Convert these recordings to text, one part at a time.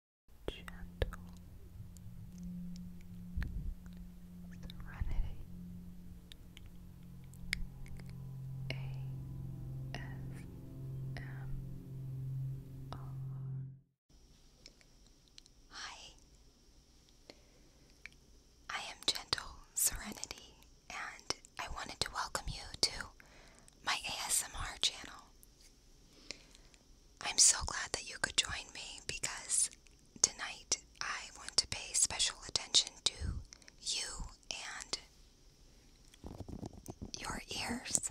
gentle serenity. Hi. I am Gentle Serenity, and I wanted to welcome you to my ASMR channel. I'm so glad that you could join me because tonight I want to pay special attention to you and your ears.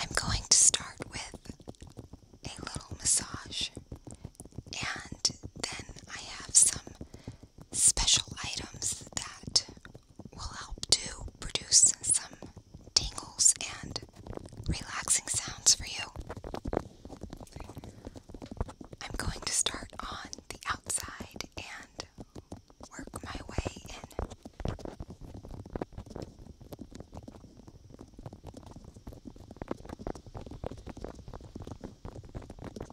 I'm going to start with a little massage, and then I have some special items that will help to produce some tingles and relaxing sounds for you. I'm going to start on the outside and work my way in.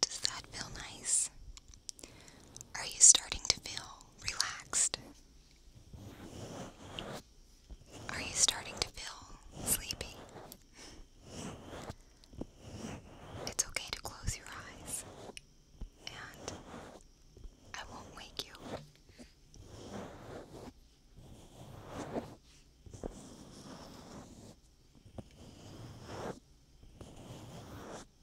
Does that feel nice? Are you starting to feel relaxed? Are you starting to feel sleepy? It's okay to close your eyes, and I won't wake you.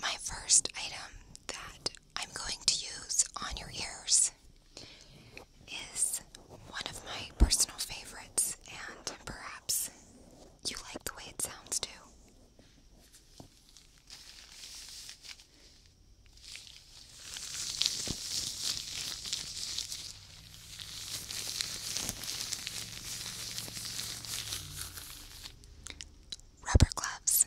My first item that I'm going to use on your ears is one of my personal favorites, and perhaps you like the way it sounds too. Rubber gloves.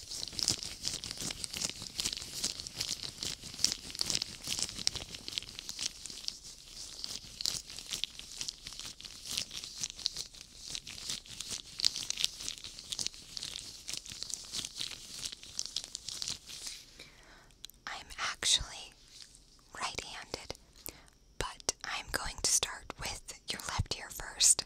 I'm actually right handed, but I'm going to start with your left ear first.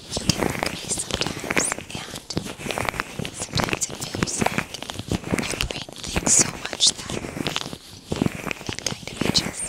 you hear a sometimes, and sometimes it feels like your brain thinks so much that it kind of itches.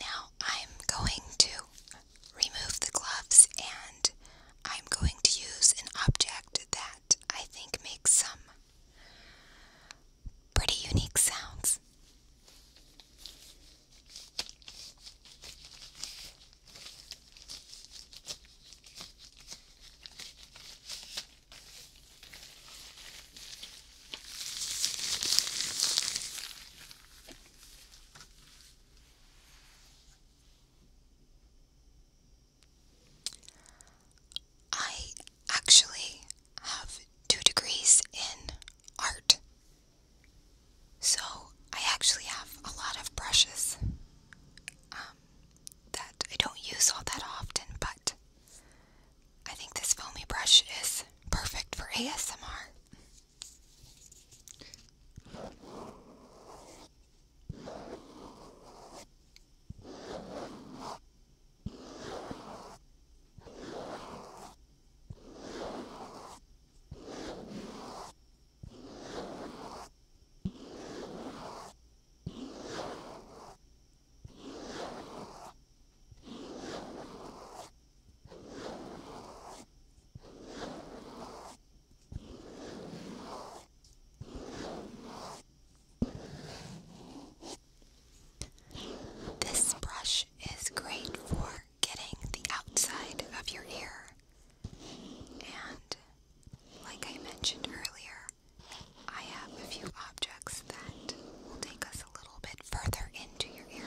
Now I'm going to remove the gloves and I'm going to use an object that I think makes some pretty unique sounds. I actually have two degrees in art, so I actually have a lot of brushes um, that I don't use all that often, but I think this foamy brush is perfect for ASMR. This brush is great for getting the outside of your ear, and like I mentioned earlier, I have a few objects that will take us a little bit further into your ear.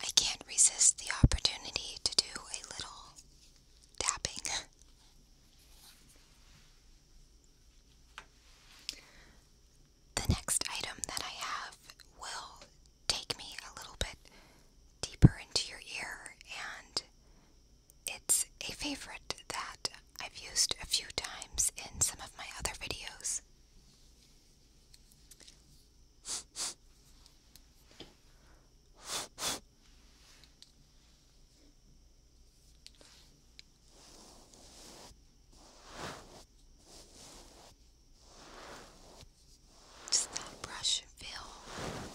I can't resist the opportunity to do a little tapping. The next item that I have will take me a little bit deeper into your ear and it's a favorite that I've used a few times in some of my other videos. Does that brush feel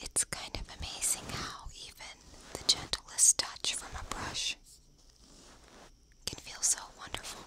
It's kind of amazing how even the gentlest touch from a brush can feel so wonderful.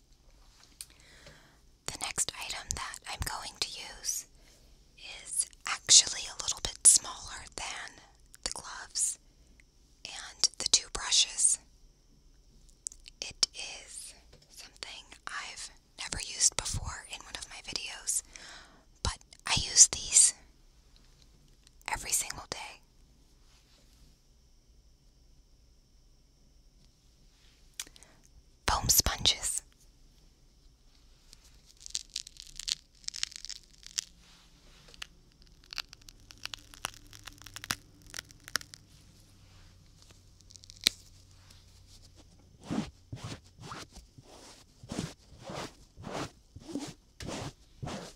The next item that I'm going to use is actually a little bit smaller than the gloves and the two brushes. It is something I've never used before in one of my videos, but I use these every single day. Foam sponges.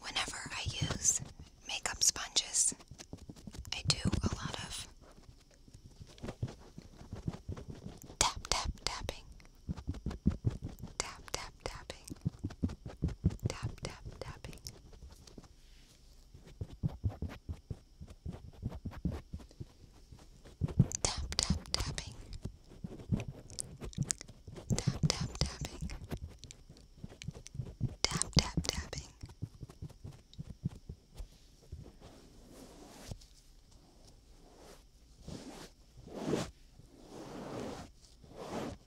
Whenever I use makeup sponges, I do a lot of tap, tap, tapping. Tap, tap, tapping. Tap, tap, tapping. Tap, tap, tapping. Tap, tap, tapping. Tap, tap, tapping. Tap,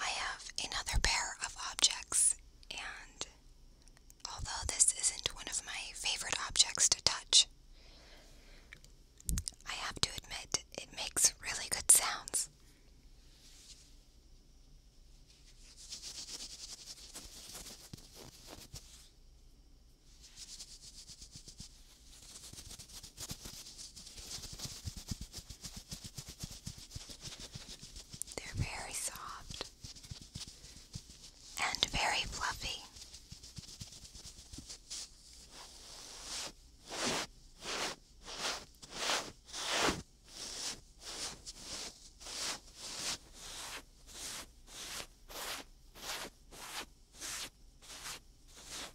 I have another pair of objects, and although this isn't one of my favorite objects to touch, I have to admit it makes really good sounds. They're very soft and very fluffy.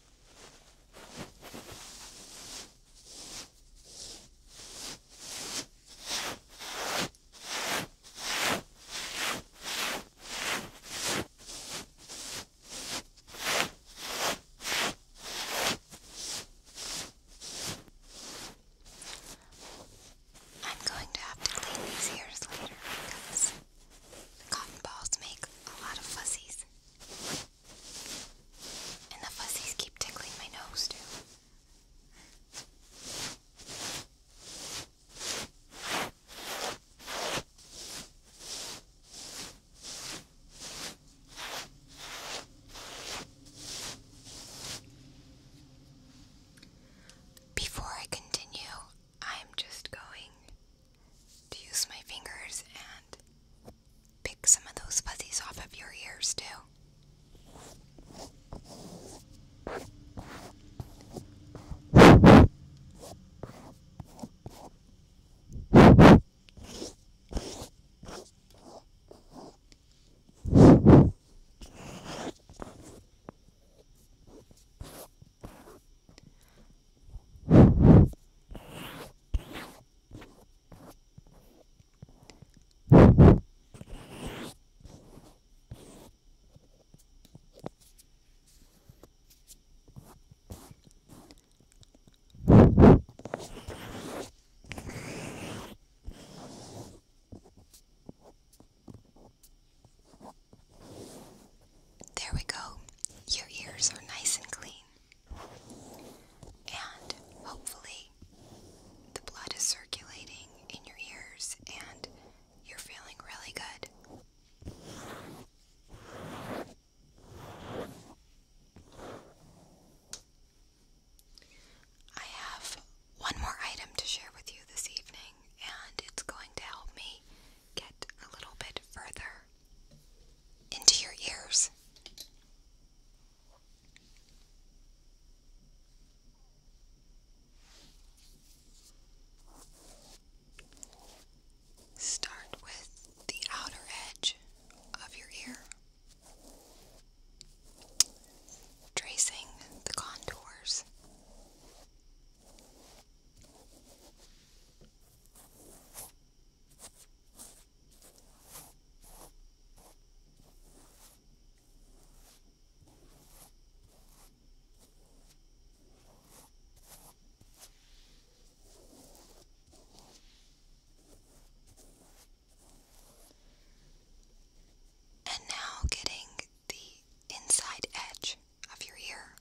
I'm going to have to clean these ears later because the cotton balls make a lot of fuzzies. And the fuzzies keep tickling my nose, too. Before I continue, I'm just going to use my fingers and pick some of those fuzzies off of your ears, too. There we go. Your ears are nice and clean. And hopefully, the blood is circulating in your ears and you're feeling really good. I have one more item to share with you this evening, and it's going to help me get a little bit further into your ears. Start with the outer edge of your ear, tracing the contours. And now getting the inside edge of your ear.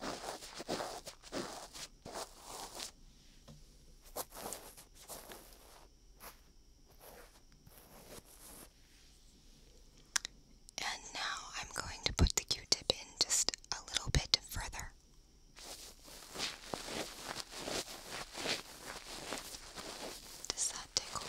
And now I'm going to put the Q-tip in just a little bit further. Does that tickle?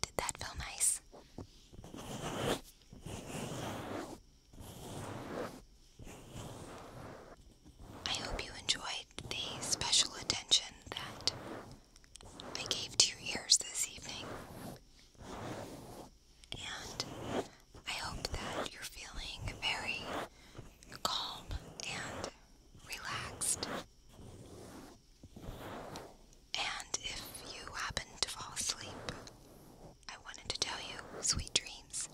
Did that feel nice? I hope you enjoyed the special attention that I gave to your ears this evening. And I hope that you're feeling very calm and relaxed and if you happen to fall asleep, I wanted to tell you sweet dreams.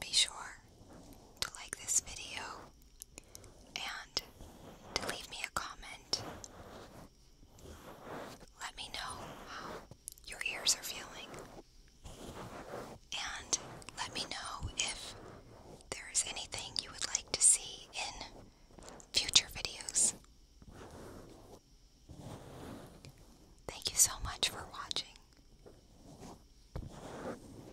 Be sure to like this video and to leave me a comment. Let me know how your ears are feeling. And let me know if there is anything you would like to see in future videos. Thank you so much for watching.